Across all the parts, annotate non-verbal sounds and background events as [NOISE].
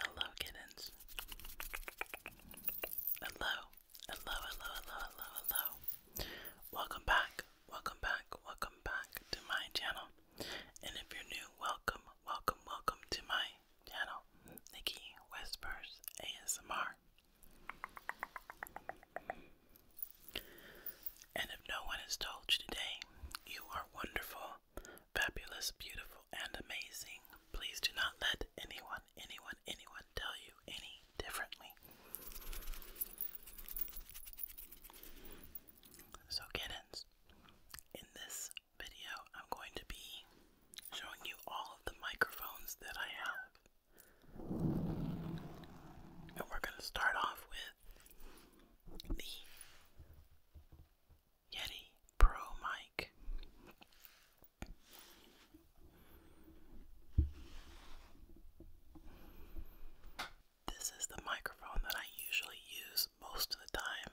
Hello, kittens. Hello, hello, hello, hello, hello, hello. Welcome back, welcome back, welcome back to my channel. And if you're new, welcome, welcome, welcome to my channel, Nikki Whispers ASMR. And if no one has told you today, you are wonderful, fabulous, beautiful, and amazing. Please do not let anyone, anyone, anyone tell you any differently. So, kittens, in this video, I'm going to be showing you all of the microphones that I have. And we're going to start off with the Yeti Pro mic. This is the microphone that I usually use most of the time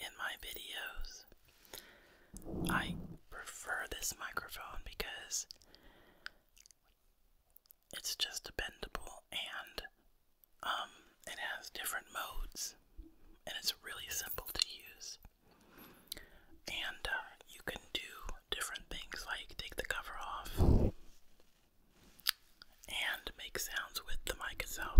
in my videos. I prefer this microphone because it's just dependable and um, it has different modes and it's really simple to use. And uh, you can do different things like take the cover off and make sounds with the mic itself.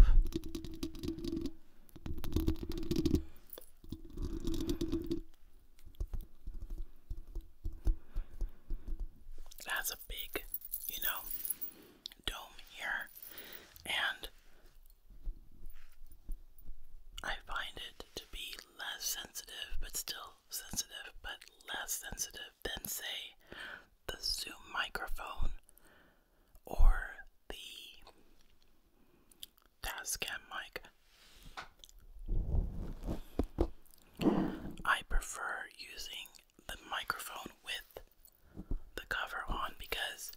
It big, you know, dome here, and I find it to be less sensitive, but still sensitive, but less sensitive than, say, the Zoom microphone or the Tascam mic. I prefer using the microphone with the cover on because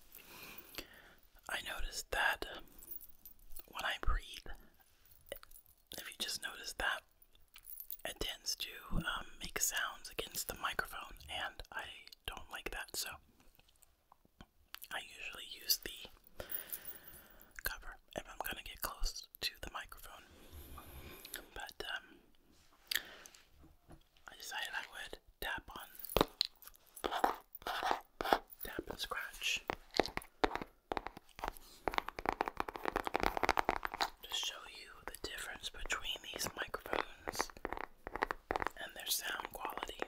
I noticed that when I breathe, if you just notice that, it tends to um, make sounds against the microphone, and I don't like that, so I usually use the cover if I'm gonna get close to the microphone, but um, I decided I would tap on, tap and scratch. To show you the difference between these microphones and their sound quality.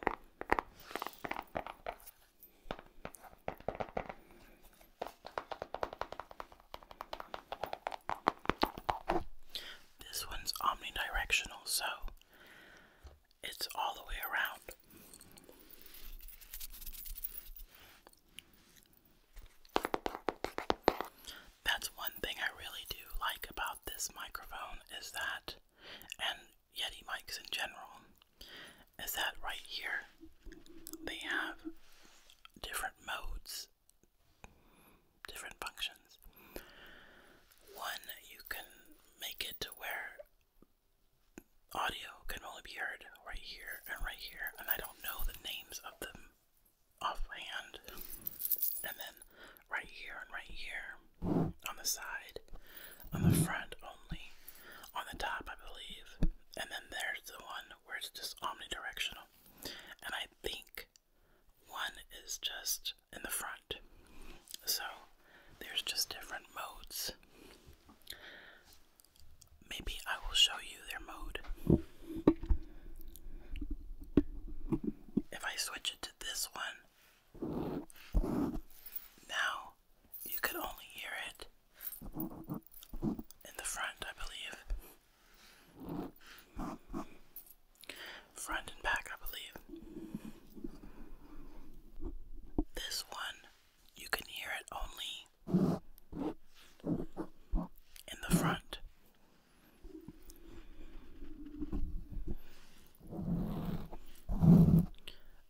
This one's omnidirectional, so it's all the way around. That's one thing I really do like about this microphone is that, and Yeti mics in general, is that right here they have different modes, different functions. One, you can make it to where audio can only be heard right here and right here, and I don't know the names of them offhand. And then right here and right here, on the side, on the front only, on the top, I believe. And then there's the one where it's just omnidirectional. And I think one is just in the front. So there's just different modes. Maybe I will show you their mode. If I switch it to this one, now you could only hear it in the front, I believe. Front and back, I believe. This one, you can hear it only in the front.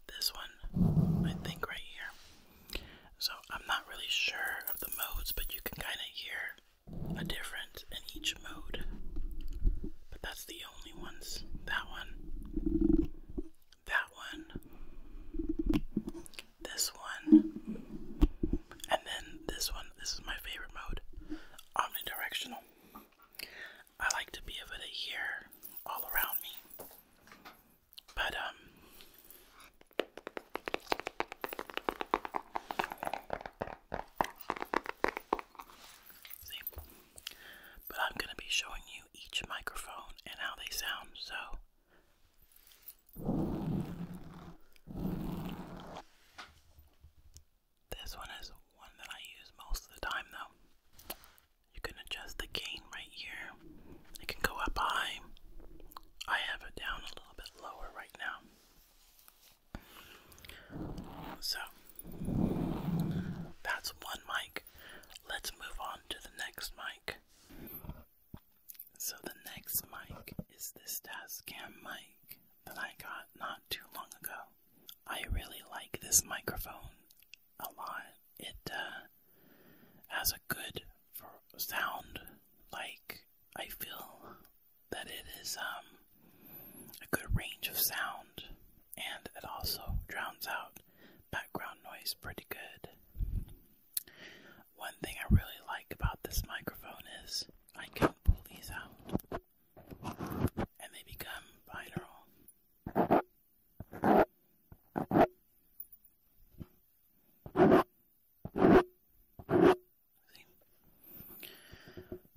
This one, I think, right here. So I'm not really sure of the modes, but you can kind of hear a difference in each mode. But that's the only ones. That one, that one, this one, and then this one. This is my favorite mode omnidirectional. I like to be able to hear all around me. But um see but I'm gonna be showing you each microphone and how they sound so this one is one that I use most of the time though. You can adjust the gain right here. It can go up high. I have it down a little bit lower right now. So that's one mic. Let's move on to the next mic. So the next mic is this Tascam mic that I got not too long ago. I really like this microphone a lot. It uh, as a good sound. Like I feel that it is um, a good range of sound, and it also drowns out background noise pretty good. One thing I really like about this microphone is I can pull these out and they become binaural.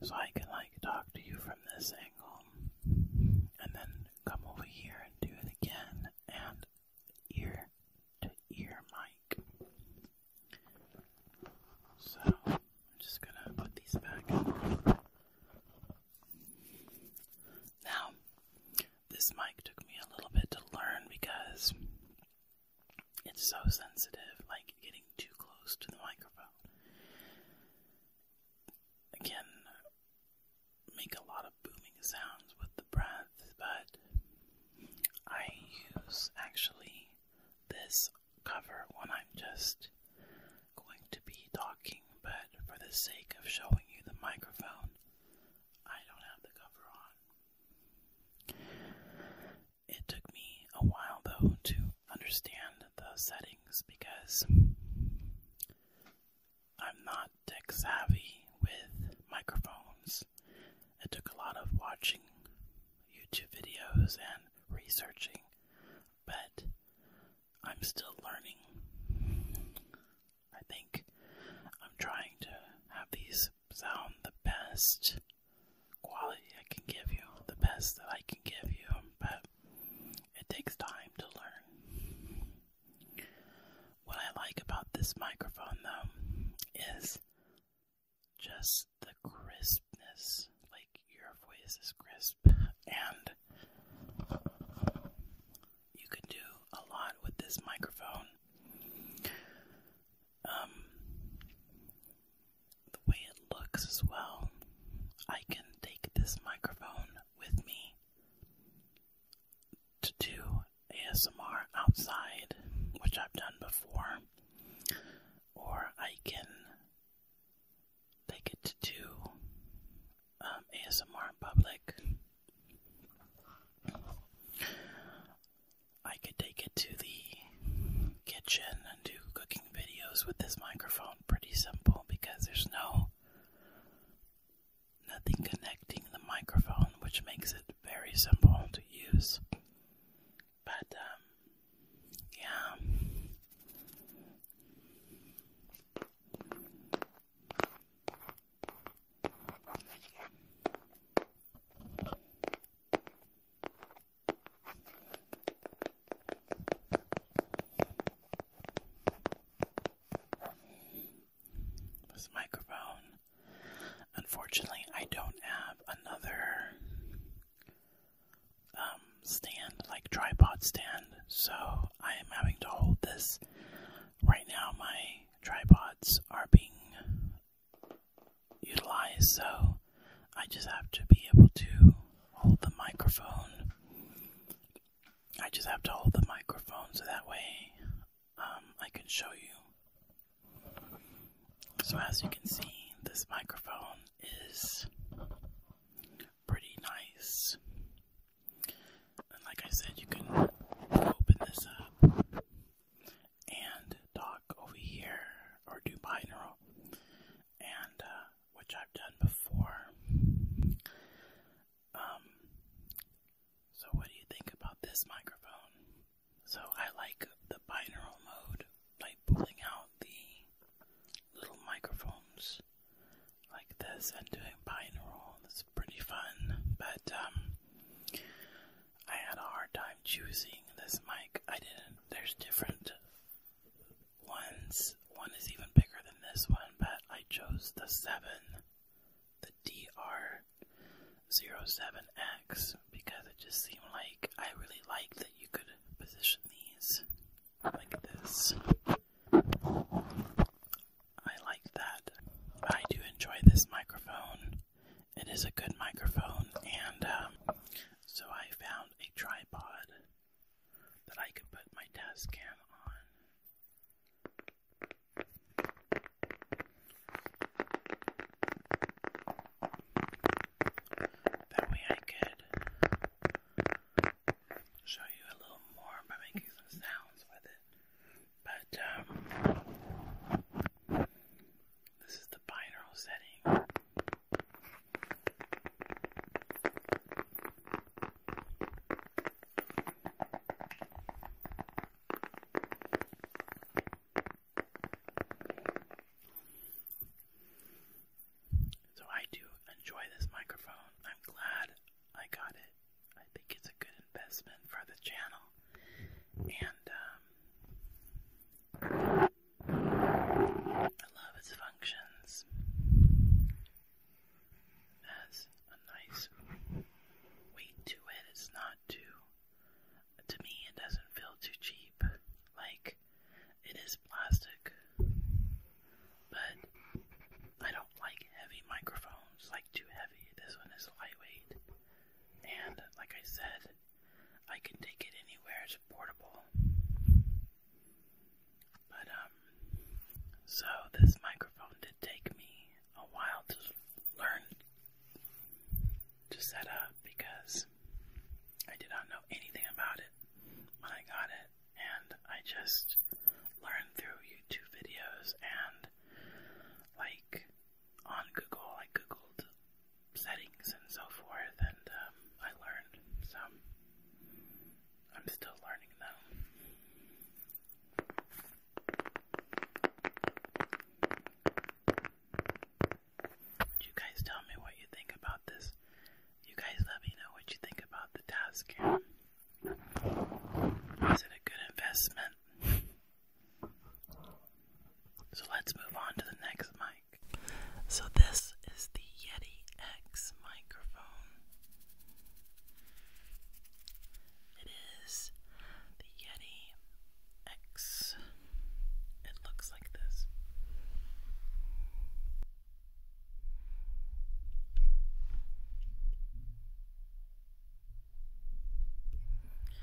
So I can like talk to you from this angle and then come over here and do it again and ear to ear mic. So I'm just gonna put these back. Now this mic took me a little bit to learn because it's so sensitive, like getting too close to the microphone. Again, make a lot of booming sounds with the breath, but I use actually this cover when I'm just going to be talking, but for the sake of showing you the microphone, I don't have the cover on. It took me a while though to understand the settings because I'm not tech savvy with microphones. It took a lot of watching YouTube videos and researching, but I'm still learning. I think I'm trying to have these sound the best quality I can give you, the best that I can give you, but it takes time to learn. What I like about this microphone, though, is just the crispness. Like, your voice is crisp, and you can do a lot with this microphone. Um, the way it looks as well, I can take this microphone with me to do ASMR outside, which I've done before, or I can take it to do um, ASMR in public. I could take it to the kitchen and do cooking videos with this microphone pretty simple because there's no nothing connecting the microphone which makes it very simple to use. But um, yeah. This microphone. Unfortunately, I don't have another um, stand, like tripod stand, so I am having to hold this. Right now, my tripods are being utilized, so I just have to be able to hold the microphone. I just have to hold the microphone so that way um, I can show you. So, as you can see, this microphone is pretty nice. And, like I said, you can open this up and talk over here or do binaural, and uh, which I've done before. Um, so what do you think about this microphone? So I like the binaural mode, like pulling out the little microphones like this and doing binaural pretty fun, but um, I had a hard time choosing this mic. I didn't, there's different ones. One is even bigger than this one, but I chose the 7, the DR07X, because it just seemed like I really liked that you could position these like this. I like that. I do enjoy this microphone. It is a good microphone, and um, so I found a tripod that I can put my desk cam on. That way I could show you a little more by making some sounds with it. But um, this is the binaural setting. So I do enjoy this microphone. I'm glad I got it. I think it's a good investment for the channel. And, um, I love its functions. It has a nice weight to it. It's not too, to me, it doesn't feel too cheap. Like, it is plastic, but I don't like heavy microphones, like too heavy. This one is lightweight and like I said, I can take it anywhere. It's portable. But um, so this microphone did take me a while to learn to set up because I did not know anything about it when I got it, and I just learned through YouTube videos and like on Google. I googled settings and so forth, and um, I learned some. I'm still learning though. you guys tell me what you think about this? You guys let me know what you think about the task. Is it a good investment? So let's move on to the next mic. So this is the Yeti X microphone. It is the Yeti X. It looks like this.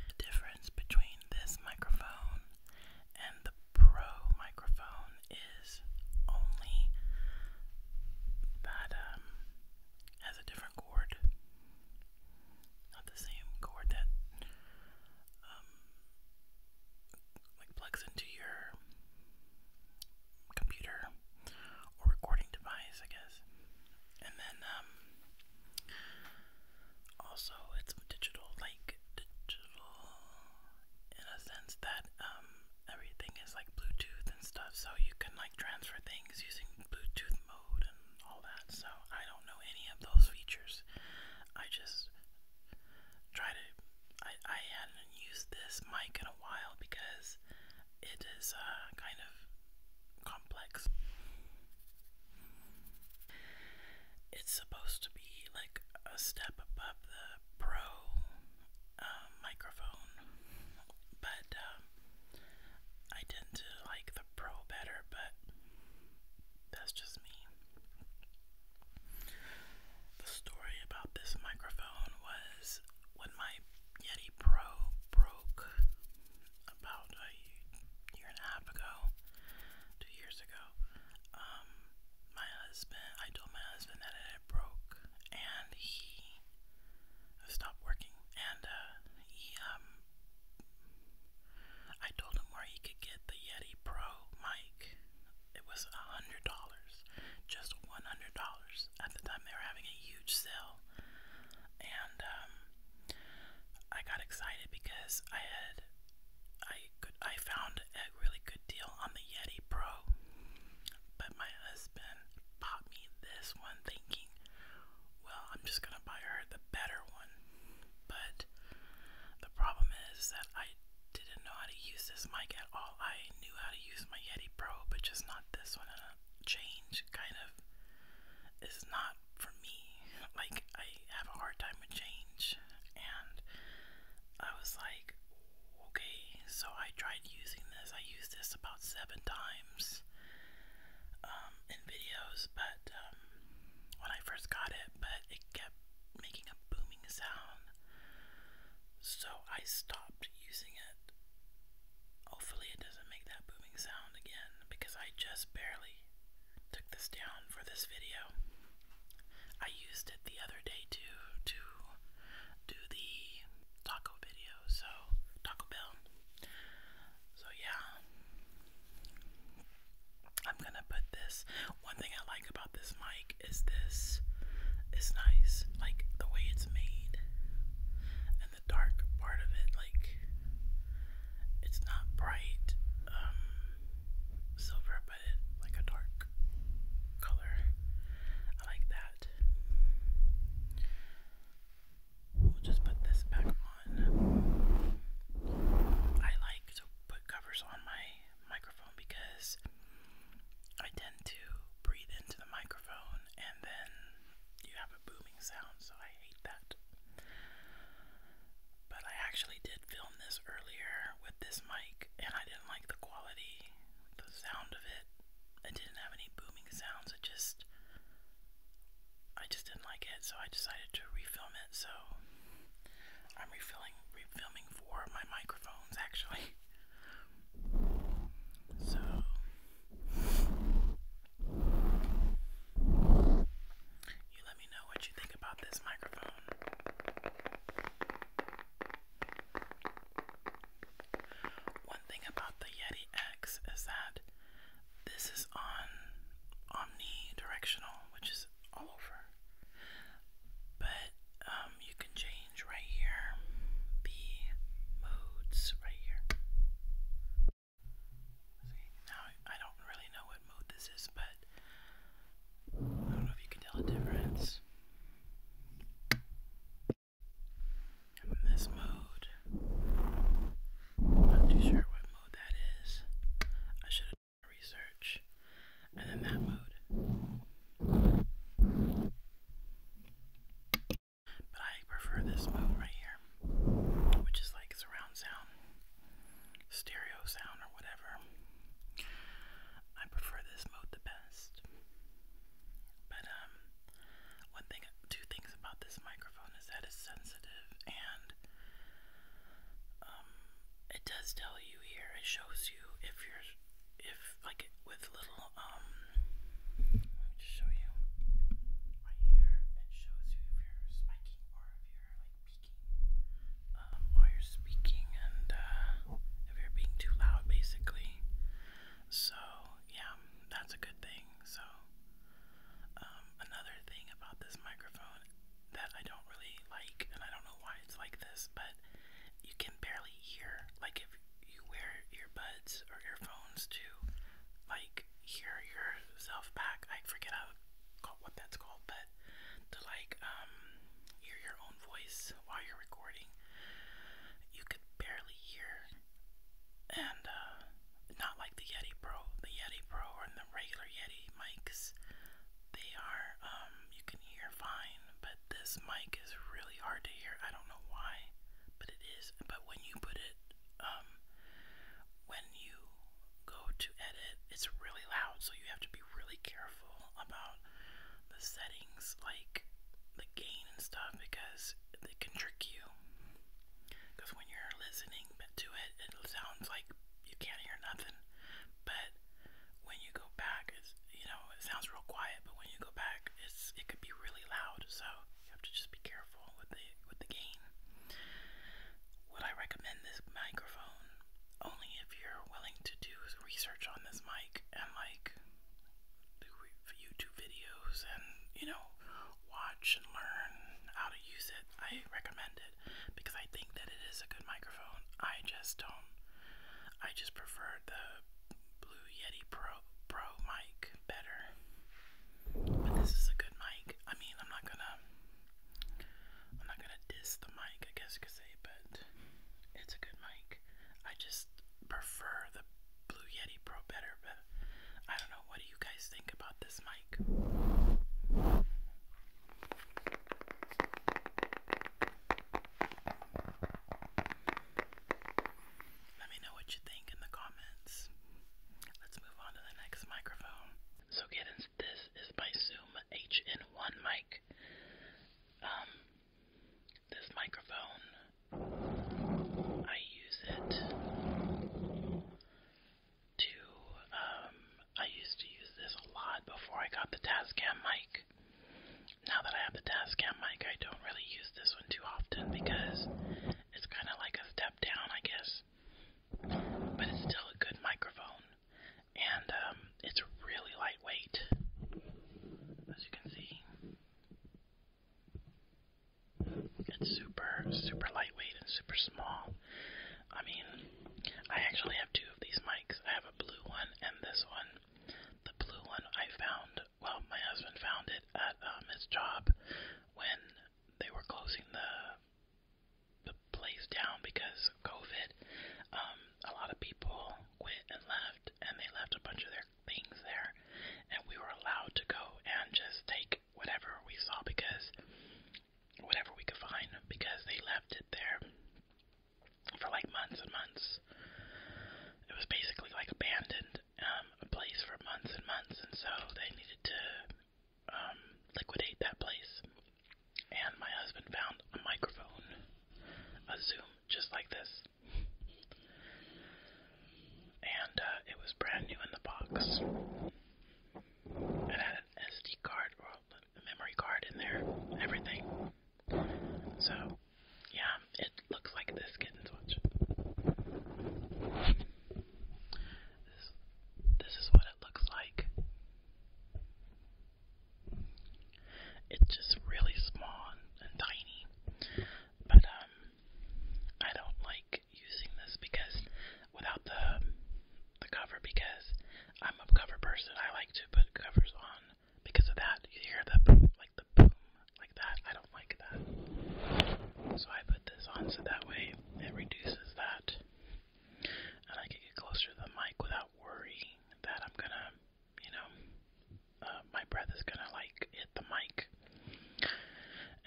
The difference between this microphone and the Pro microphone is only that um has a different cord, not the same cord that um, like plugs into your computer or recording device, I guess. And then um, also, it's digital, like digital in a sense that um, everything is like Bluetooth and stuff, so you can like transfer things using Bluetooth mode and all that. So, I don't know any of those features. I just try to. I, I hadn't used this mic in a while because it is a uh, kind of complex. It's supposed to be like a step above the Pro um, microphone, but um, I tend to like the Pro better, but that's just me. The story about this microphone was when my Yeti a pro broke about a year and a half ago, two years ago. Um, my husband, I told my husband that it had broke, and he stopped working. And uh, he, um, I told him where he could get the Yeti Pro mic. It was a hundred dollars, just one hundred dollars. At the time, they were having a huge sale, and um, I got excited because I had I I found a really good deal on the Yeti Pro, but my husband bought me this one thinking, well, I'm just gonna buy her the better one. But the problem is that I didn't know how to use this mic at all. I knew how to use my Yeti Pro, but just not this one. And a change kind of is not for me. Like, I have a hard time with change, and I was like, okay, so I tried using this. I used this about seven times um, in videos, but um, when I first got it, but it kept making a booming sound, so I stopped using it. Hopefully, it doesn't make that booming sound again because I just barely took this down for this video. I used it the other day to to do the taco video, so Taco Bell. So yeah. I'm gonna put this one thing I like about this mic is this is nice, like the way it's made the dark part of it, like it's not bright um, silver, but like a dark color. I like that. We'll just put this back on. I like to put covers on my microphone because I tend to breathe into the microphone and then you have a boom humming so I hate that. But I actually did film this earlier with this mic, and I didn't like the quality, the sound of it. It didn't have any booming sounds. It just, I just didn't like it, so I decided to refilm it. So I'm refilling, refilming for my microphones actually. [LAUGHS] So you let me know what you think about this microphone. One thing about the Yeti X is that this is on omnidirectional, which is all over. But um, you can change right here the modes right here now I don't really know what mood this is, but I don't know if you can tell the difference. in this mood. not too sure what mood that is. I should have done research. And then that mood. But I prefer this mode right here, which is like surround sound, stereo sound, or whatever. I prefer this mode the best. But um, one thing, two things about this microphone is that it's sensitive and um, it does tell you here. It shows you if you're, if like with little um let me just show you right here. It shows if you're spiking or if you're like peaking um, while you're speaking and uh, if you're being too loud, basically. So yeah, that's a good thing. So um, another thing about this microphone that I don't really like, and I don't know why it's like this, but you can barely hear. Like if you wear earbuds or earphones to like hear yourself back. I forget how what that's called, but to like um hear your own voice while you're recording, you could barely hear. And uh, not like the Yeti Pro, the Yeti Pro or the regular Yeti mics, they are um you can hear fine, but this mic is really hard to hear. I don't know why, but it is. But when you put it um, when you go to edit, it's really loud, so you have to be really careful about the settings, like the gain and stuff, because they can trick you. Because when you're listening to it, it sounds like you can't hear nothing, but when you go back, it's, you know, it sounds real quiet, but when you go back, it's it could be really loud. So you have to just be careful with the with the game. Would I recommend this microphone? Only if you're willing to do research on this mic and like do YouTube videos and you know watch and learn how to use it. I recommend it because I think that it is a good microphone. I just don't. I just prefer the Blue Yeti Pro Pro mic better. But this is a good mic. I mean, I'm not gonna, I'm not gonna diss the mic, I guess you could say, but it's a good mic. I just prefer the Blue Yeti Pro better, but I don't know. What do you guys think about this mic? Let me know what you think in the comments. Let's move on to the next microphone. So get this is by Zoom HN1 mic. Um, this microphone, I use it to, um, I used to use this a lot before I got the Tascam mic. Now that I have the Tascam mic, I don't really use this one too often because it's kind of like a step down, I guess. But it's still a good microphone. And um, it's really lightweight, as you can see. It's super, super lightweight and super small. I mean, I actually have two of these mics. I have a blue one and this one. The blue one I found, well, my husband found it at um, uh, his job when they were closing the the place down because of COVID. Um, a lot of people quit and left, and they left a bunch of their things there, and we were allowed to go and just take whatever we saw because whatever we could find because they left it there for like months and months. It was basically like abandoned, um, a place for months and months, and so they needed to um, liquidate that place. And my husband found a microphone, a Zoom, just like this. And uh, it was brand new in the box. It had an SD card or a memory card in there, everything. So, yeah, it looks like this kitten's watch. This, this is what it looks like. It's just really small and, tiny. But um I don't like using this because without the the cover because I'm a cover person. I like to put covers on because of that. You hear the like the boom like that. I like that. So I put this on so that way it reduces that. And I can get closer to the mic without worry that I'm gonna, you know, uh, my breath is gonna like hit the mic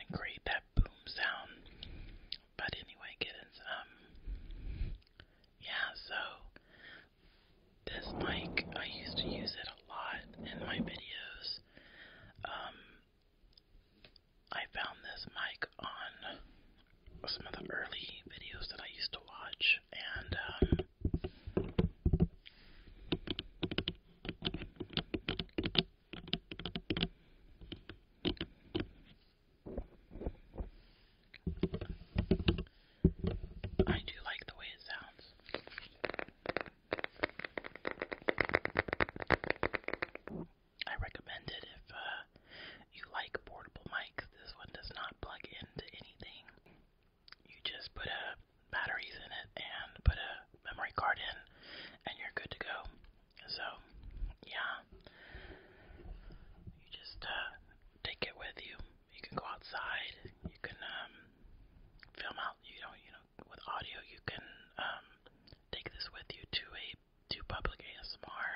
and create that boom sound. But anyway, kittens, um, yeah, so this mic, I used to use it a lot in my videos. Um, I found this mic on some of the early videos that I used to watch, and um, I do like the way it sounds. I recommend it if uh, you like portable mics. This one does not plug into anything. You just put a batteries in it and put a memory card in, and you're good to go. So, yeah, you just uh, take it with you. You can go outside. You can um, film out. You know, you know, with audio, you can um, take this with you to a do public ASMR.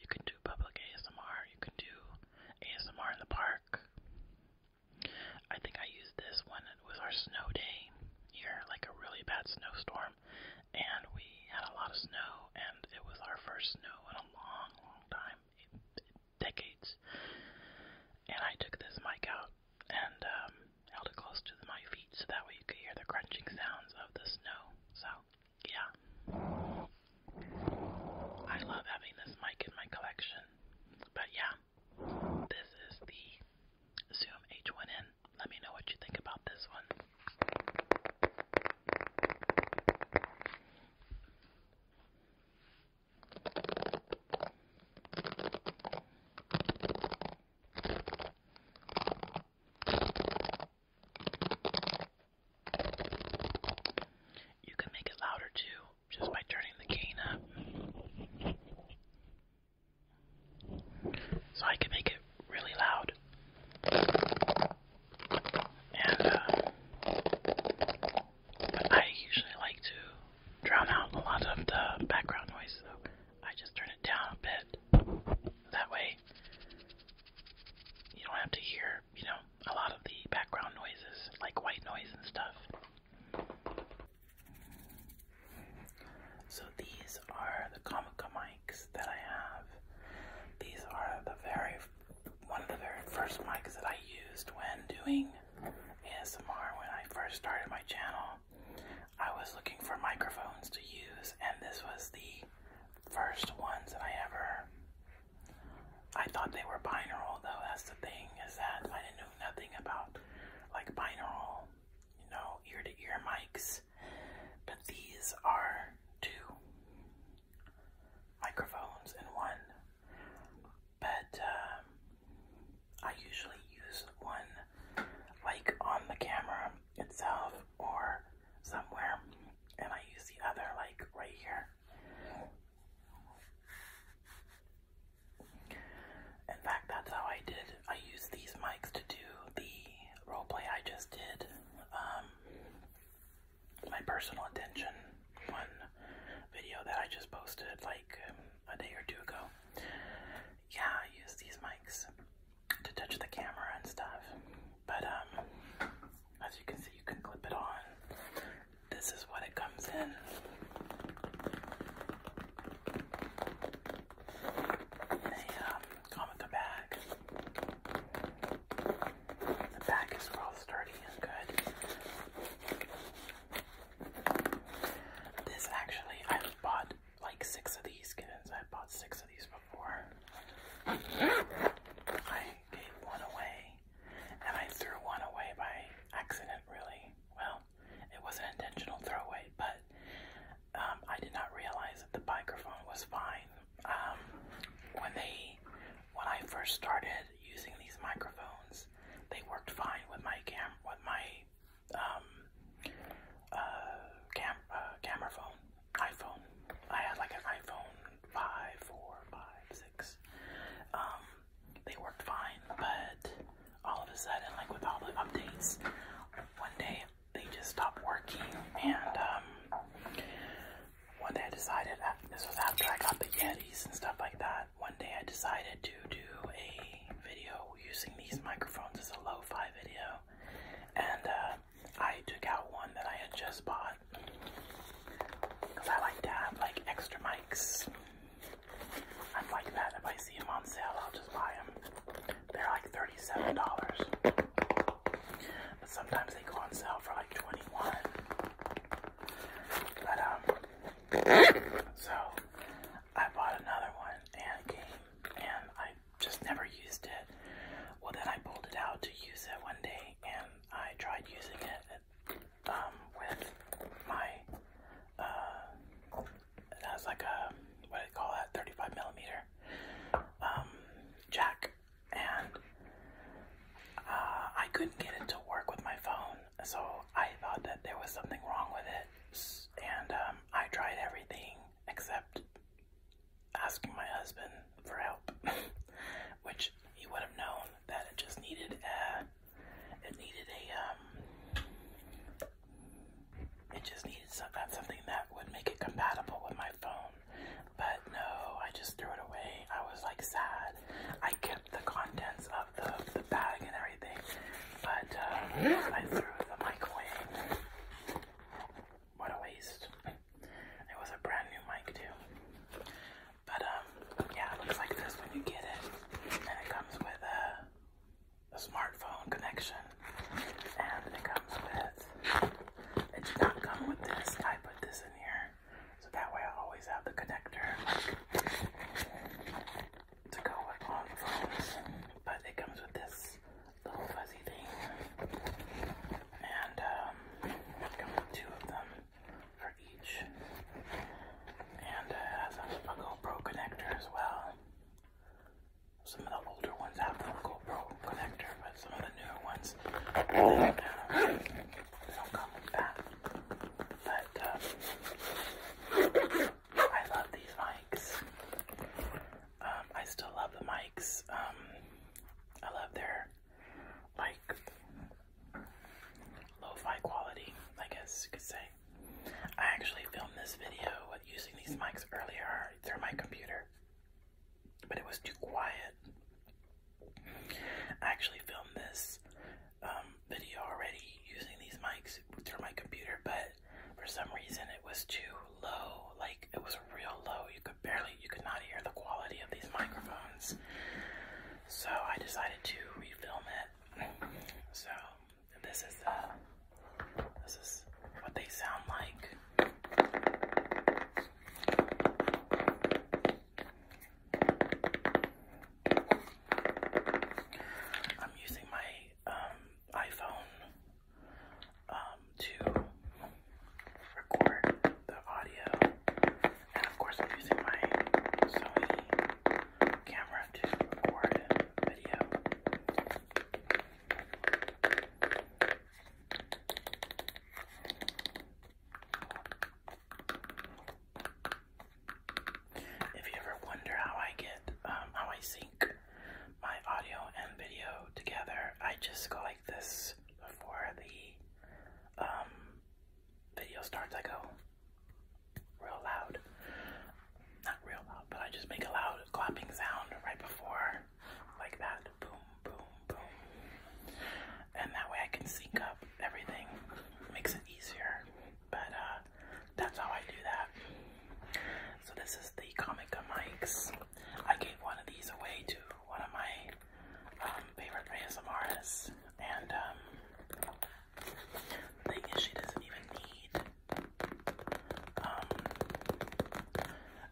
You can do public ASMR. You can do ASMR in the park. I think I used this when it was our snow day here, like a really bad snowstorm, and we had a lot of snow, and it was our first snow in a long, long time, decades. And I took this mic out and um, held it close to my feet so that way you could hear the crunching sounds of the snow. So, yeah. I love having this mic in my collection. But yeah, this is the Zoom H1N. Let me know what you think about this one. You can make it louder too, just by turning the gain up. So I can make it really loud. And, uh, but I usually like to drown out a lot of the background noise, so I just turn it down a bit. That way, you don't have to hear, you know, a lot of the background noises, like white noise and stuff. So these are the Comica mics that I have. These are the very one of the very first mics that I used when doing ASMR when I first started my channel. I was looking for microphones to use, and this was the first ones that I ever. I thought they were binaural, though. That's the thing is that I knew nothing about like binaural, you know, ear to ear mics. But these are two microphones in one. But um, I usually use one like on the camera itself or somewhere, and I use the other like right here. In fact, that's how I did. I use these mics to do the roleplay I just did. Um, my personal attention one video that I just posted like a day or two ago. Yeah, I use these mics to touch the camera and stuff. But um, as you can see you can clip it on. This is what it comes in. In a um comica bag. The bag is real sturdy and good. This actually I bought like six of these skins. I bought six of these before. I gave one away, and I threw one away by accident, really. Well, it was an intentional throwaway, but um, I did not realize that the microphone was fine. Um, when they, when I first started using these microphones, they worked fine with my cam, with my um, uh, cam uh, camera phone, iPhone. I had like an iPhone five, four, five, six. Um, they worked fine, but all of a sudden, like with all the updates, one day they just stopped working. And um, one day I decided uh, this was after I got the Yetis and stuff like that. One day I decided to do a video using these microphones as a lo-fi video, and uh, I took out one that I had just bought because I like to have like extra mics. I'm like that. If I see them on sale, I'll just buy them. They're like thirty-seven dollars, but sometimes they go on sale for like twenty-one. But um, [COUGHS] so I bought another one and came and I just never used it. Well, then I pulled it out to use it one day and I tried using it um, with my, uh, that's like a, what do you call that, 35 millimeter um, jack. And uh, I couldn't get it to work with my phone, so I thought that there was something wrong with it. And um, I tried everything except asking my husband for help, [LAUGHS] which he would have known that it just needed a, it needed a, um, it just needed something that would make it compatible with my phone. But no, I just threw it away. I was like sad. I kept the contents of the, the bag and everything, but uh, I threw the mic What a waste. It was a brand new mic too. But um, yeah, it looks like this when you get it. And it comes with a, a smartphone connection. And it comes with, it did not come with this. I put this in here. So that way I always have the connector to go like on the but it comes with this little fuzzy thing, and um, it comes with two of them for each, and it has a, GoPro connector as well. Some of the older ones have the GoPro connector, but some of the newer ones don't, uh, don't come with that. But uh, I love these mics. Um, I still love the mics. Um, I love their like lo-fi quality, I guess you could say. I actually filmed this video using these mics earlier through my computer, but it was too quiet. I actually filmed this um, video already using these mics through my computer, but for some reason it was too low. Like it was real low. You could barely, you could not hear the quality of these microphones. So I decided to refilm it. So this is uh, this is what they sound like. I'm using my um, iPhone um, to record the audio, and of course, I'm using my Sony camera to record video. If you ever wonder how I get, um, how I sync my audio and video together, I just go like this before the um, video starts. I go real loud. Not real loud, but I just make a loud clapping sound right before, like that. Boom, boom, boom. And that way I can sync up everything. makes it easier. But uh, that's how I do that. So this is the Comica mics. I gave one of these away to one of my um, favorite ASMRists, and um, the thing is, she doesn't even need. Um,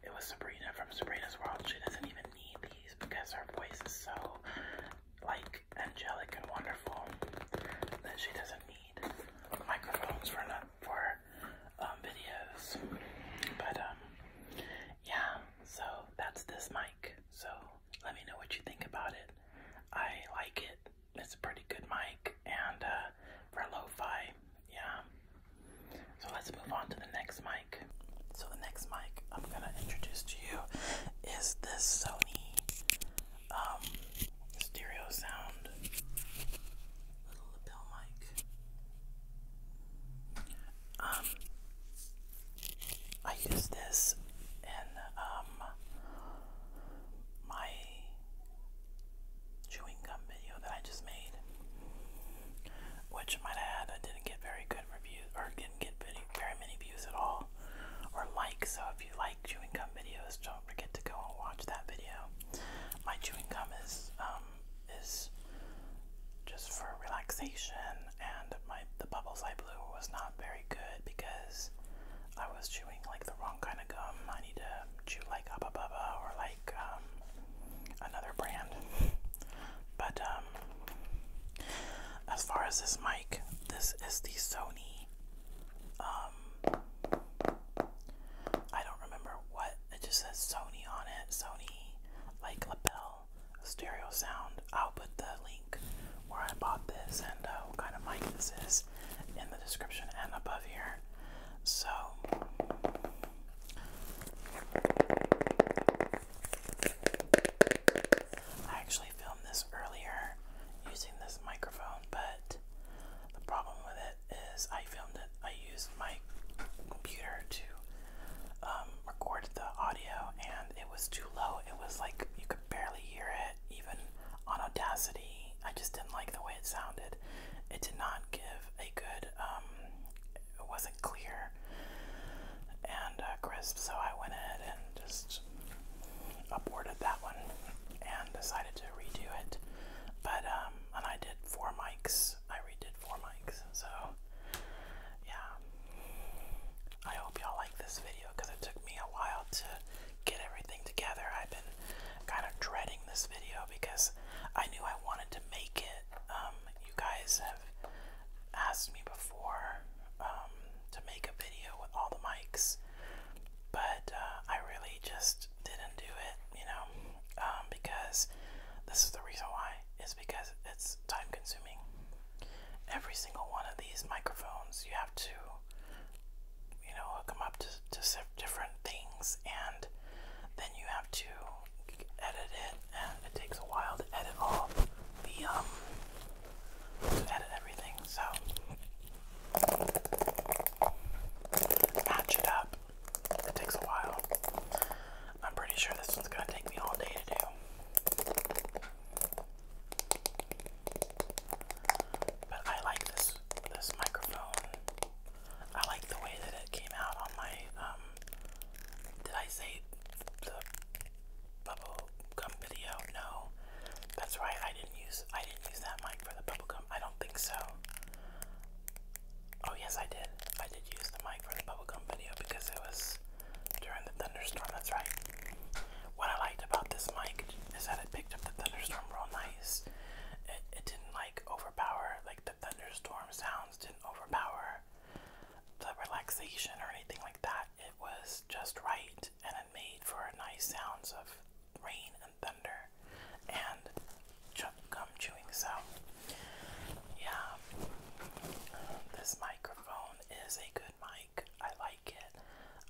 it was Sabrina from Sabrina's World. She doesn't even need these because her voice is so like angelic and wonderful that she doesn't need microphones for for um, videos, but um, yeah. So that's this mic. So let me know what you think about it. I like it. It's a pretty good mic, and uh, for lo-fi, yeah. So let's move on to the next mic. So the next mic I'm gonna introduce to you is this Sony um, stereo sound, little lapel mic. Um, I use this in um my chewing gum video that I just made, which might add I didn't get very good reviews or didn't get very, very many views at all or likes. So if you like chewing gum videos, don't forget to go and watch that video. My chewing gum is um, is just for relaxation, and my the bubbles I was not very good because I was chewing like the wrong kind of gum. I need to chew like Abba Bubba uh, or like um, another brand. But um, as far as this mic, this is the Sony uh, um, I don't remember what it just says Sony on it. Sony, like lapel stereo sound. I'll put the link where I bought this and uh, what kind of mic this is in the description and above here. So. I actually filmed this earlier using this microphone, but the problem with it is I filmed it. I used my computer to um, record the audio, and it was too low. It was like you could barely hear it, even on Audacity. I just didn't like the way it sounded. It did not give a good. Um, it wasn't clear and uh, crisp, so I went ahead and just aborted that one and decided to redo it. But um, and I did four mics. I redid four mics. So yeah, I hope y'all like this video because it took me a while to get everything together. I've been kind of dreading this video because I knew I wanted to make it. Um, you guys have asked me before um, to make a video with all the mics, but uh, I really just didn't do it, you know, um, because this is the reason why is because it's time consuming. Every single one of these microphones, you have to, you know, hook them up to, to different things, and then you have to edit it, and it takes a while to edit all the um edit everything. So Patch it up. It takes a while. I'm pretty sure this one's gonna take me all day to do. But I like this this microphone. I like the way that it came out on my um did I say the bubble gum video? No. That's right, I didn't use I didn't use that mic for the bubble gum I don't think so. Oh yes, I did. I did use the mic for the bubblegum video because it was during the thunderstorm. That's right. What I liked about this mic is that it picked up the thunderstorm real nice. It, it didn't like overpower, like the thunderstorm sounds didn't overpower the relaxation or anything like that. It was just right and it made for nice sounds of rain Thunder and gum chewing sound. Yeah, this microphone is a good mic. I like it.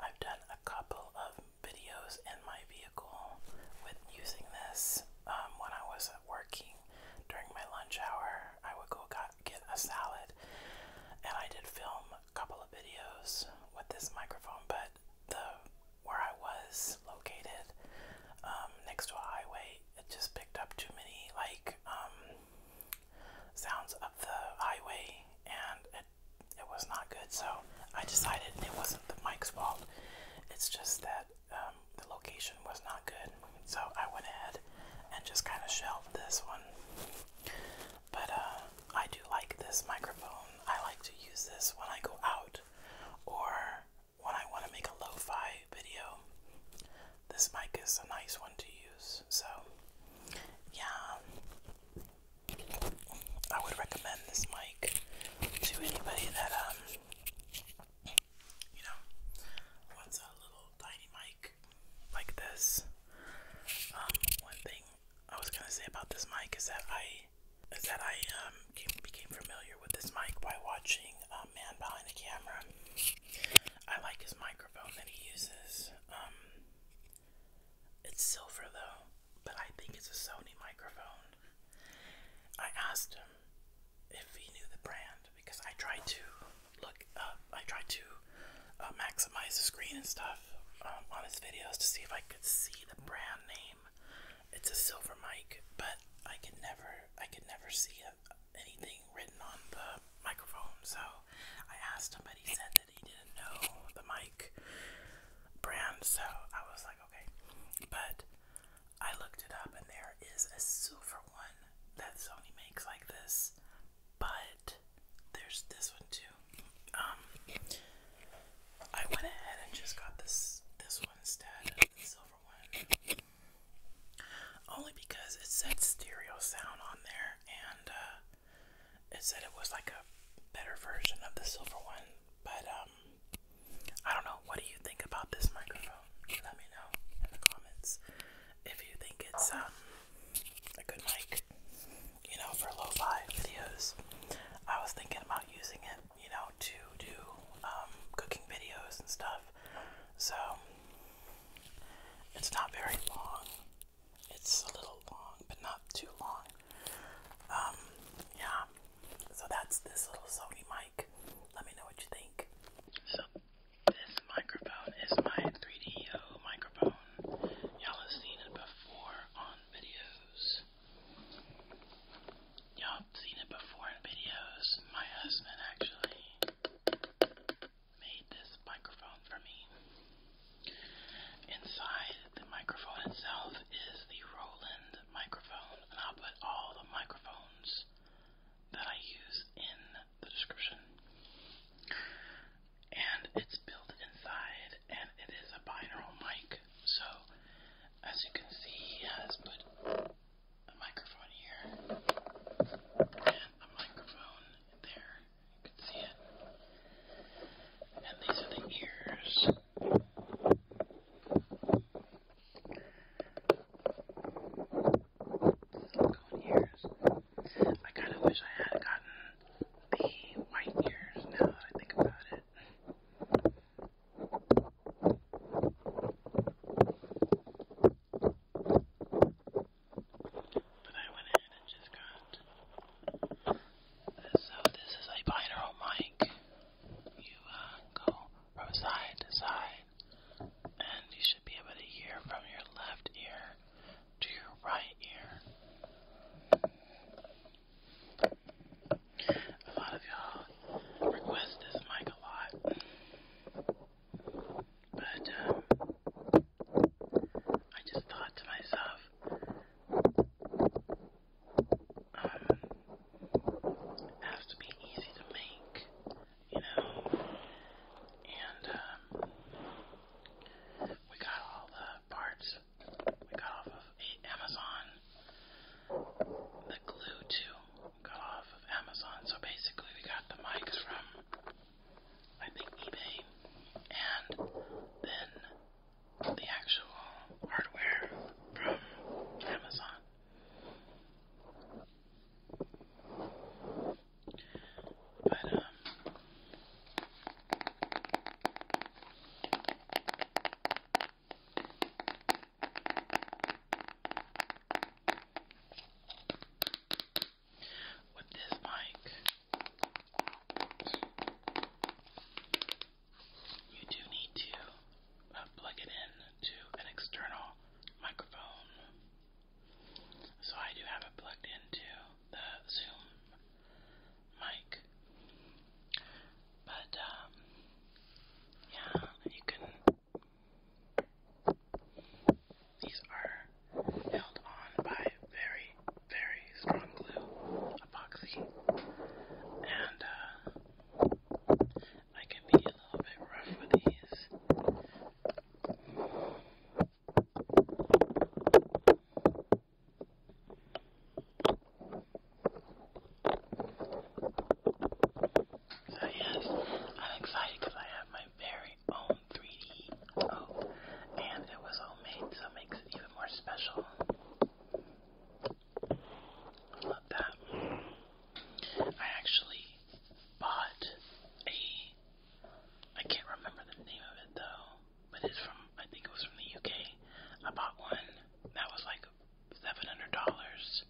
I've done a couple of videos in my vehicle with using this um, when I was working during my lunch hour. I would go get a salad and I did film a couple of videos with this microphone, but the where I was located um, next to a highway, it just picked up too many like um, sounds of the highway, and it it was not good. So I decided, it wasn't the mic's fault. It's just that um, the location was not good. So I went ahead and just kind of shelved this one. But uh, I do like this microphone. I like to use this when I go out or when I want to make a lo fi video. This mic is a nice one to use, so yeah, I would recommend this mic to anybody that, um, you know, wants a little tiny mic like this. Um, one thing I was gonna say about this mic is that I is that I um became familiar with this mic by watching a um, man behind a camera. I like his microphone that he uses. Um, it's silver though, but I think it's a Sony microphone. I asked him if he knew the brand because I tried to look up. I tried to uh, maximize the screen and stuff stuff um, on his videos to see if I could see the brand name. It's a silver mic, but I could never, I could never see anything written on the microphone. So I asked him, but he said that he didn't know the mic brand. So I was like, okay. But I looked it up, and there is a silver one that Sony makes like this. But there's this one too. Um, I went ahead and just got this this one instead, the silver one, only because it said stereo sound on there, and uh, it said it was like a better version of the silver one. But um, I don't know. What do you think about this microphone? Let me know in the comments if you think it's um a good mic you know, for lo-fi videos. I was thinking about using it, you know, to do um, cooking videos and stuff. So it's not very long. It's a little long, but not too long. Um, yeah. So that's this little Sony mic. Let me know what you think. So this microphone is my 3DO microphone. Y'all have seen it before on videos. Y'all seen it before in videos. My husband actually made this microphone for me. Inside the microphone itself is the Roland microphone, and I'll put all the microphones that I use in the description. And it's built inside, and it is a binaural mic mic. So, as you can see, he has put a microphone here and a microphone there. You can see it. And these are the ears. Silicone ears. I kind of wish I had gotten the white ears now that I think about it. But I went ahead and just got. So uh, this is a binaural mic. You uh, go from side to side, and you should be able to hear from your left ear to your right ear. A lot of y'all request this mic a lot. But um, I just thought to myself, um, it has to be easy to make, you know? And um, we got all the parts we got off of Amazon. The glue too got off of Amazon. So basically, we got the mics from I think eBay, and then the actual hardware from Amazon. But um. With this mic, you do need to uh, plug it in to an external microphone. So I do have it plugged into the Zoom mic. But, um, yeah, you can. These are held on by very, very strong glue, epoxy, and uh, I can be a little bit rough with these. So yes, I'm excited because I have my very own 3D oh, and it was homemade, so it makes it even more special. I love that. I actually bought a I can't remember the name of it though but it's from I think it was from the UK. I bought one that was like seven hundred dollars.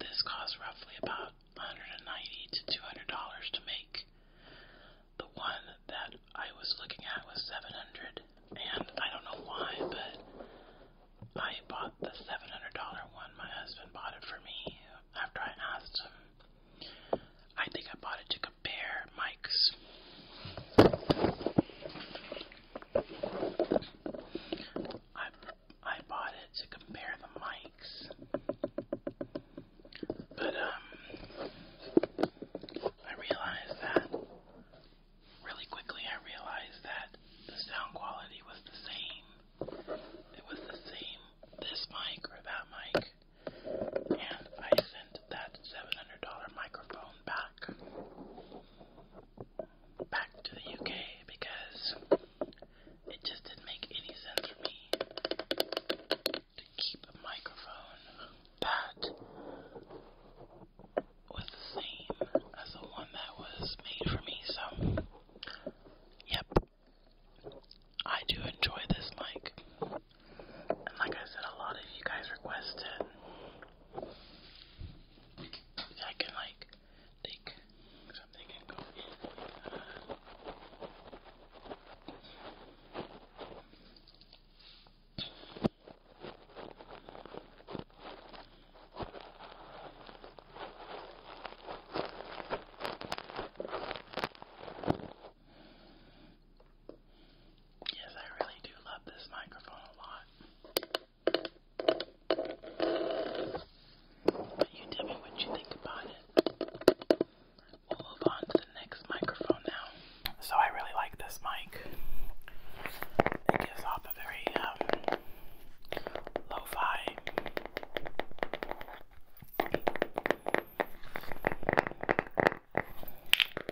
This cost roughly about hundred and ninety to two hundred dollars to make. The one that I was looking at was seven hundred, and I don't know why, but I bought the seven hundred dollar one. My husband bought it for me after I asked him. I think I bought it to compare our mics. I I bought it to compare the mics, but um, I realized that really quickly. I realized that the sound quality was the same. It was the same this mic or that mic, and I sent that $700 microphone back back to the UK because it just didn't make any sense for me to keep a microphone that was the same as the one that was made for me. So, yep, I do enjoy this mic. And like I said, a lot of you guys requested I can like take something and go in with. Uh, Yes, I really do love this microphone a lot. But you tell me what you think about it. We'll move on to the next microphone now. So I really like this mic. It gives off a very um, lo-fi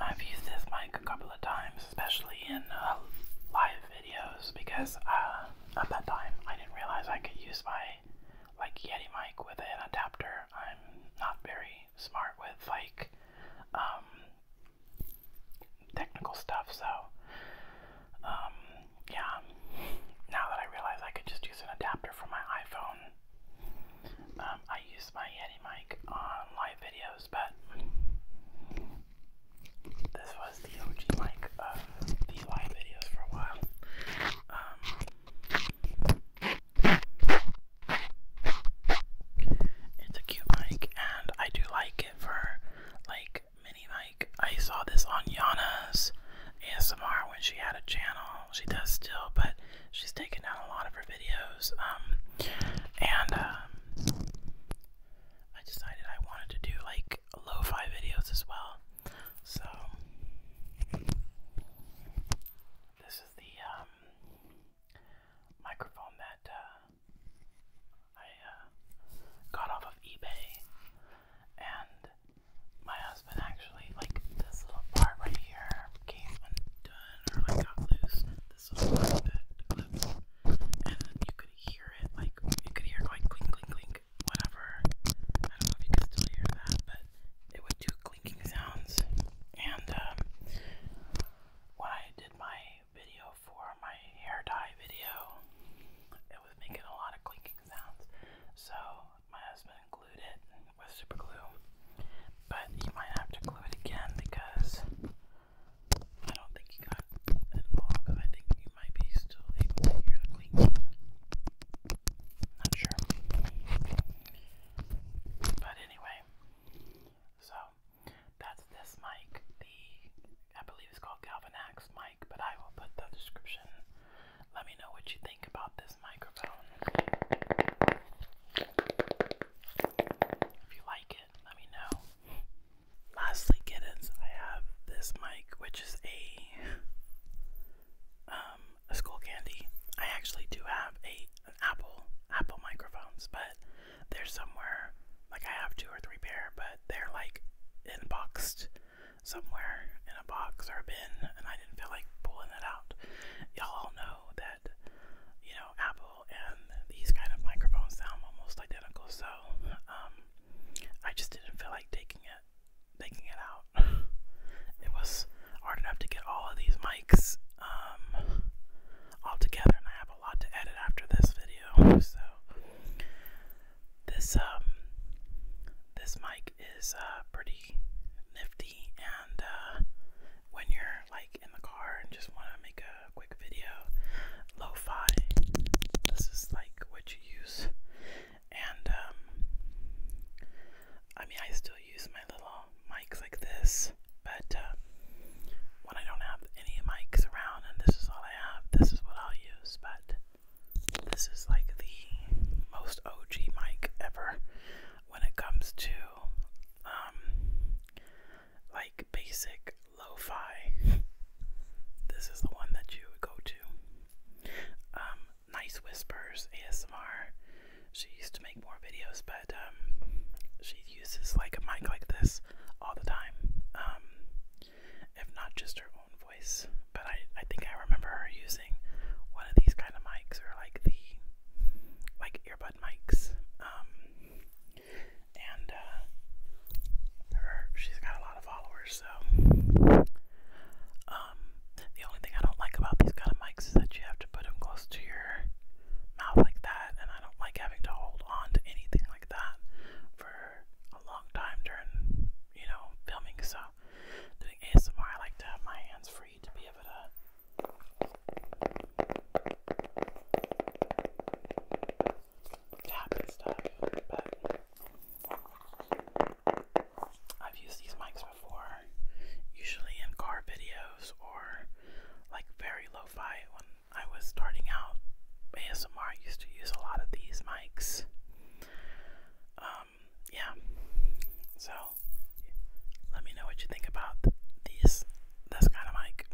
I've used this mic a couple of times, especially in uh, live videos, because uh, at that time I didn't realize I could use my like Yeti mic with an adapter. I'm not very smart with like um, technical stuff. So, um, yeah. Now that I realize I could just use an adapter for my iPhone, um, I use my Yeti mic on live videos, but this was the OG mic of the live videos for a while. Um, it's a cute mic, and I do like it for like mini like I saw this on Yana's ASMR when she had a channel. She does still, but she's taken down a lot of her videos. Um and um, I decided I wanted to do like lo-fi videos as well. So this is the um, microphone that uh, I uh, got off of eBay, and my husband actually like this little part right here came undone or like got loose. This little part of clipped, and you could hear it like you could hear like clink, clink, clink, whatever. I don't know if you can still hear that, but it would do clinking sounds. And um, when I did my video for my hair dye video. It was making a lot of clinking sounds, so my husband glued it with super glue. But he might have to glue it again because I don't think he got it all. Because I think you might be still able to hear the clinking. Not sure. But anyway, so that's this mic. The I believe it's called Galvanax mic, but I will put the description. Let me know what you think about this microphone. If you like it, let me know. Lastly, kittens, I have this mic, which is a um a school candy. I actually do have a an Apple Apple microphones, but they're somewhere. Like I have two or three pair, but they're like in boxed somewhere in a box or a bin, and I didn't feel like pulling it out. Y'all all know that you know Apple and these kind of microphones sound almost identical, so um, I just didn't feel like taking it, taking it out. [LAUGHS] it was hard enough to get all of these mics um, all together, and I have have a lot to edit after this video, so this um this mic is uh, pretty nifty and uh, when you're like in the car and just wanna make a quick video, lo-fi this is like what you use and um, I mean I still use my little mics like this but uh, when I don't have any mics around and this is all I have, this is what I'll use. But this is like the most OG mic ever when it comes to um, like basic lo fi. This is the one that you would go to. Um, nice Whispers ASMR. She used to make more videos, but um, she uses like a mic like this all the time, um, if not just her own voice. But I, I think I remember her using one of these kind of mics or like the like earbud mics. Um, and uh, her, she's got a lot of followers, so. the only thing I don't like about these kind of mics is that you have to put them close to your mouth like that, and I don't like having to hold on to anything like that for a long time during, you know, filming. So, doing ASMR, I like to have my hands free to be able to. Tap and stuff, but I've used these mics before, usually in car videos or like very lo fi when I was starting out ASMR, I used to use a lot of these mics. Um, yeah. So, let me know what you think about these. This kind of mic. [LAUGHS]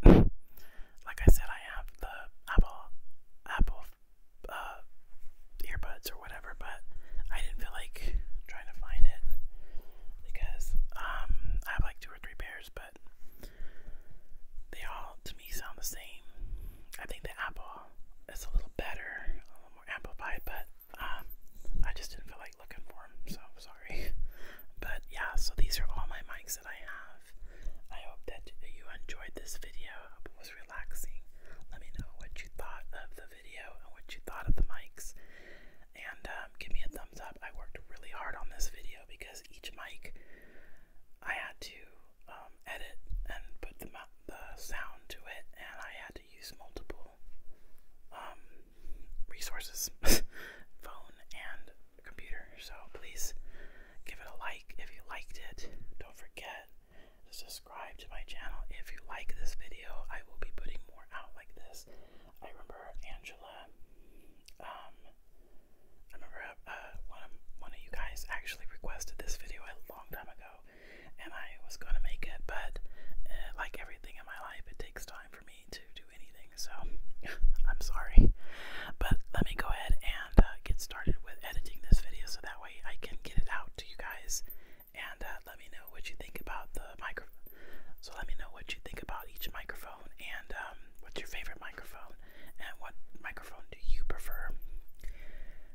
Like I said, I have the Apple Apple uh, earbuds or whatever, but I didn't feel like trying to find it because um, I have like two or three pairs, but they all to me sound the same. I think the apple is a little better, a little more amplified, but um, I just didn't feel like looking for them, so I'm sorry. [LAUGHS] But yeah, so these are all my mics that I have. I hope that you enjoyed this video. it was relaxing. Let me know what you thought of the video and what you thought of the mics, and um, give me a thumbs up. I worked really hard on this video because each mic I had to um, edit and put the, sound to it, and I had to use multiple um, resources [LAUGHS] phone and computer. So please give it a like if you liked it. Don't forget to subscribe to my channel if you like this video. I will be putting more out like this. I remember Angela. Um, I remember uh, one of you guys actually requested this video a long time ago, and I was gonna make it, but uh, like everything in my life, it takes time for me to do anything. So [LAUGHS] I'm sorry, but let me go ahead and uh, get started with editing this video, so that way I can get it out to you guys, and let me know what you think about the microphone. So let me know what you think about each microphone and um, what's your favorite microphone and what microphone do you prefer.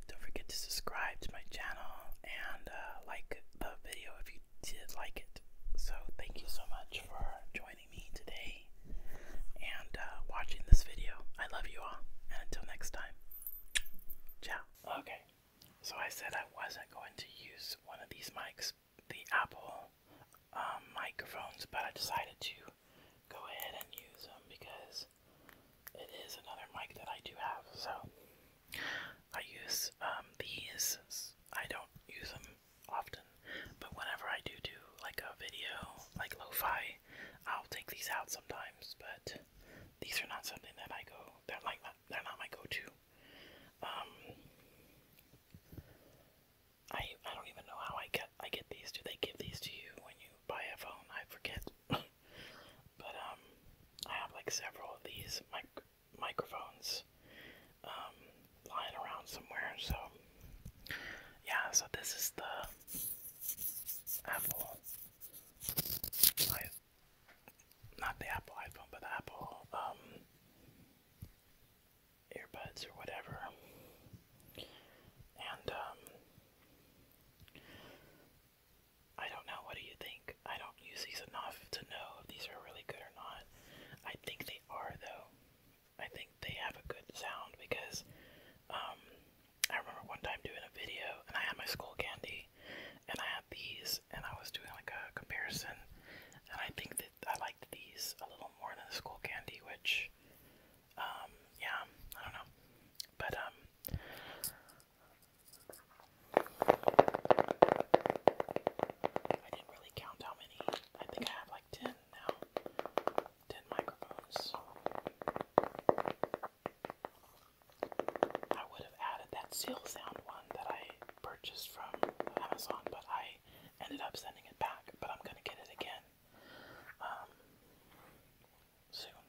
Don't forget to subscribe to my channel and uh, like the video if you did like it. So thank you so much for joining me today and uh, watching this video. I love you all and until next time, ciao. Okay, so I said I wasn't going to use one of these mics the Apple um, microphones, but I decided to go ahead and use them because it is another mic that I do have. So I use um, these. I don't use them often, but whenever I do do like a video, like lo-fi, I'll take these out sometimes. But these are not something that I go. They're like they're not my go-to. Um, I I don't even know how I get I get these. Do they give these to you when you buy a phone? I forget. [LAUGHS] but um, I have like several of these mic microphones um lying around somewhere. So yeah, so this is the Apple. I, not the Apple iPhone, but the Apple um earbuds or whatever. And, um, I don't know. What do you think? I don't use these enough to know if these are really good or not. I think they are, though. I think they have a good sound because, um, I remember one time doing a video and I had my school candy and I had these and I was doing like a comparison and I think I liked these a little more than the school candy, which, um, yeah, I don't know, but um, I didn't really count how many. I think I have like 10 now. 10 microphones. I would have added that seal one that I purchased from Amazon, but I ended up sending it back, but I'm gonna get it again um, soon.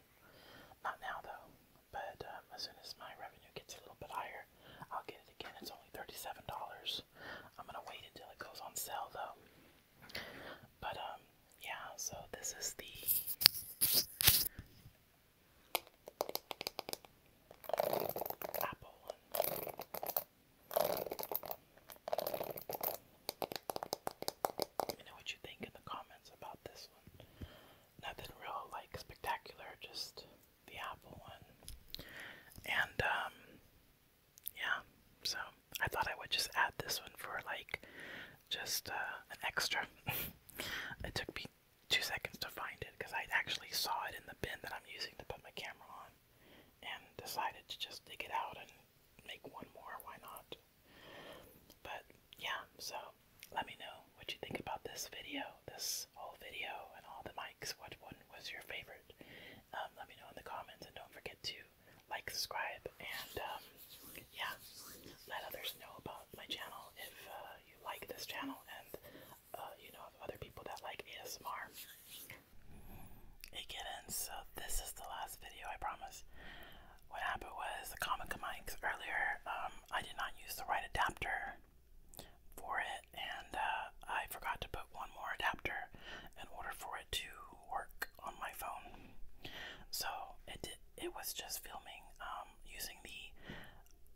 Not now though, but um, as soon as my revenue gets a little bit higher, I'll get it again. It's only thirty-seven dollars. I'm gonna wait until it goes on sale though. But um, yeah. So this is the. Apple one. Let me know what you think in the comments about this one. Nothing real like spectacular, just the apple one. And um, yeah, so I thought I would just add this one for like just uh, an extra. [LAUGHS] it took me two seconds to find it because I actually saw it in the bin that I'm using to put my camera on and decided to just dig it out and make one more. Why not? But yeah, so let me know what you think about this video, this whole video, and all the mics. What one was your favorite? Um, let me know in the comments, and don't forget to like, subscribe, and um, yeah, let others know about my channel if uh, you like this channel and uh, you know other people that like ASMR it get So this is the last video, I promise. What happened was the comic mics earlier, um, I did not use the right adapter for it, and uh, I forgot to put one more adapter in order for it to work on my phone. So it it was just filming um, using the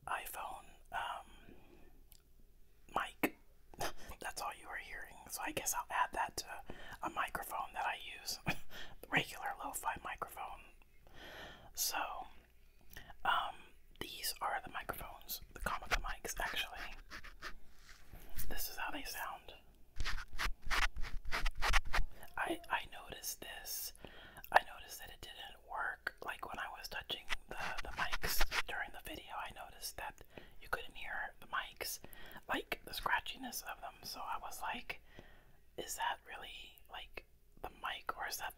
iPhone um, mic. [LAUGHS] That's all you are hearing. So I guess I'll add that to a microphone that I use, [LAUGHS] regular lo-fi microphone. So, um, these are the microphones, the Comica mics actually. This is how they sound. I I noticed this. I noticed that it didn't work. Like when I was touching the the mics during the video, I noticed that you couldn't hear the mics, like the scratchiness of them. So I was like, is that really like the mic, or is that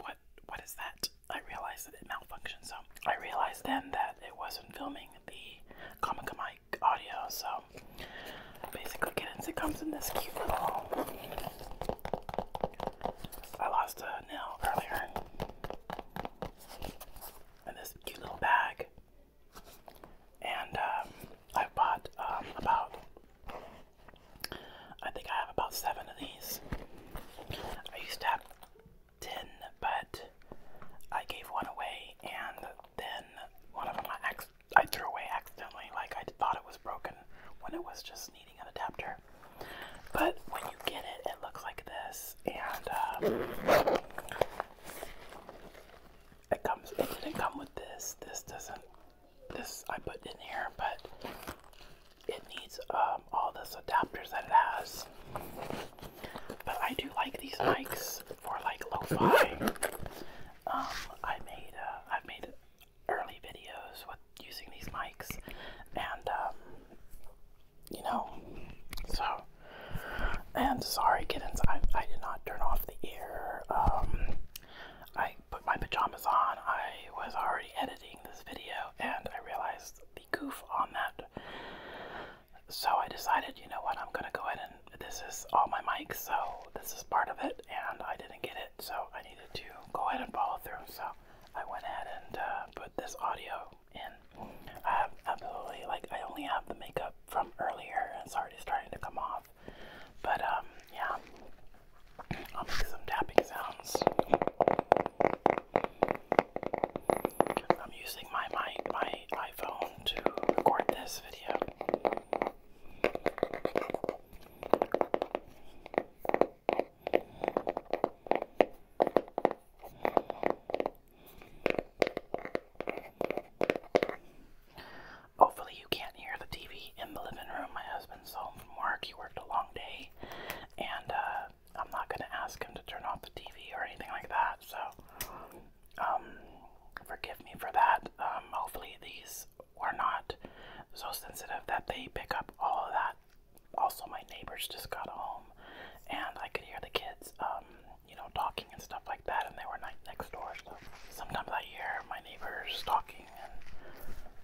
what? What is that? I realized that it malfunctioned. So I realized then that it wasn't filming the Comica mic audio. So basically, kittens, it comes in this cute little. I lost a nail earlier in this cute little bag. And um, i bought um, about, I think I have about seven of these. I used to have ten, but I gave one away, and then one of them I, I threw away accidentally. Like I thought it was broken when it was just needing an adapter. But when you get it, it looks like this and um, it comes. It didn't come with this. This doesn't. This I put in here, but it needs um, all this adapters that it has. But I do like these mics for like lo-fi. Um, I made uh, I've made early videos with using these mics, and um, you know. So, and sorry, kittens, I, I did not turn off the air. Um, I put my pajamas on. I was already editing this video and I realized the goof on that. So I decided, you know what, I'm gonna go ahead and this is all my mics, so this is part of it, and I didn't get it, so I needed to go ahead and follow through. So I went ahead and uh, put this audio and I absolutely like I only have the makeup from earlier. It's already starting to come off, but um, yeah, I'll make some tapping sounds. I'm using my my my iPhone to record this video. Hopefully, you can't hear the TV in the living room. My husband's home from work. He worked a long day, and uh, I'm not going to ask him to turn off the TV or anything like that. So, um, forgive me for that. Um, hopefully, these are not so sensitive that they pick up all of that also my neighbors just got home and I could hear the kids um, you know talking and stuff like that and they were right next door so sometimes I hear my neighbors talking and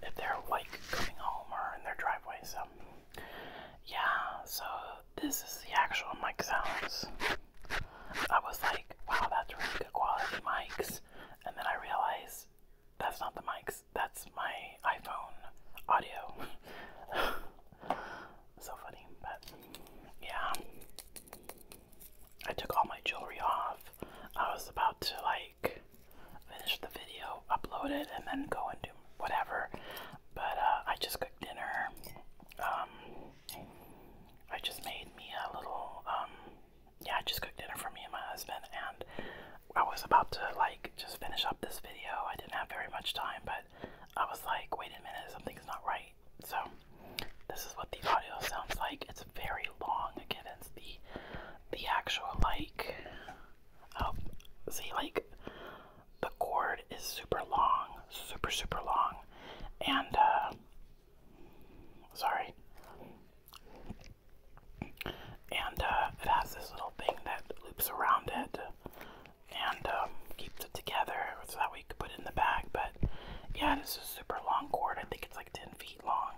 if they're like coming home or in their driveway so yeah so this is the actual mic sounds I was like wow that's really good quality mics and then I realized that's not the mics that's my iPhone audio [LAUGHS] So funny, but yeah. I took all my jewelry off. I was about to like finish the video, upload it, and then go and do whatever. But uh, I just cooked dinner. Um, I just made me a little. Um, yeah, I just cooked dinner for me and my husband, and I was about to like just finish up this video. I didn't have very much time, but I was like, wait a minute, something's not right. So, this is what the audio sounds like. It's very long against the the actual like. Oh, see, like the chord is super long, super super long, and uh, sorry, and uh, it has this little thing that loops around it and um, keeps it together so that we could put it in the bag. But yeah, this is a super long cord. I think it's like 10 feet long,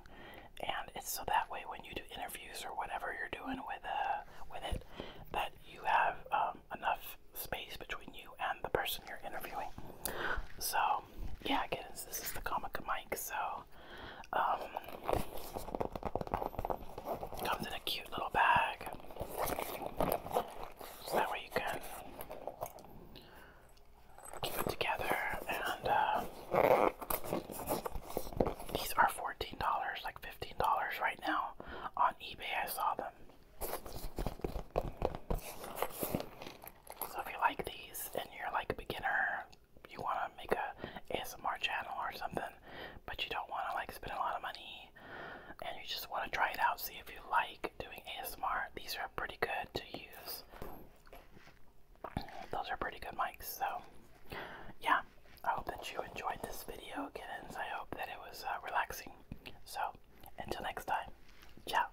and it's so that way when you do interviews or whatever you're doing with uh, with it, that you have um, enough space between you and the person you're interviewing. So yeah, again, this is the Comica mic. So um, comes in a cute little bag that way you can keep it together. And uh, these are $14, like $15 right now on eBay. I saw them. So if you like these and you're like a beginner, you want to make a ASMR channel or something, but you don't want to like spend a lot of money and you just want to try it out, see if you like doing ASMR. These are pretty good to use. Those are pretty good mics, so yeah. I hope that you enjoyed this video, kittens. I hope that it was uh, relaxing. So, until next time, ciao.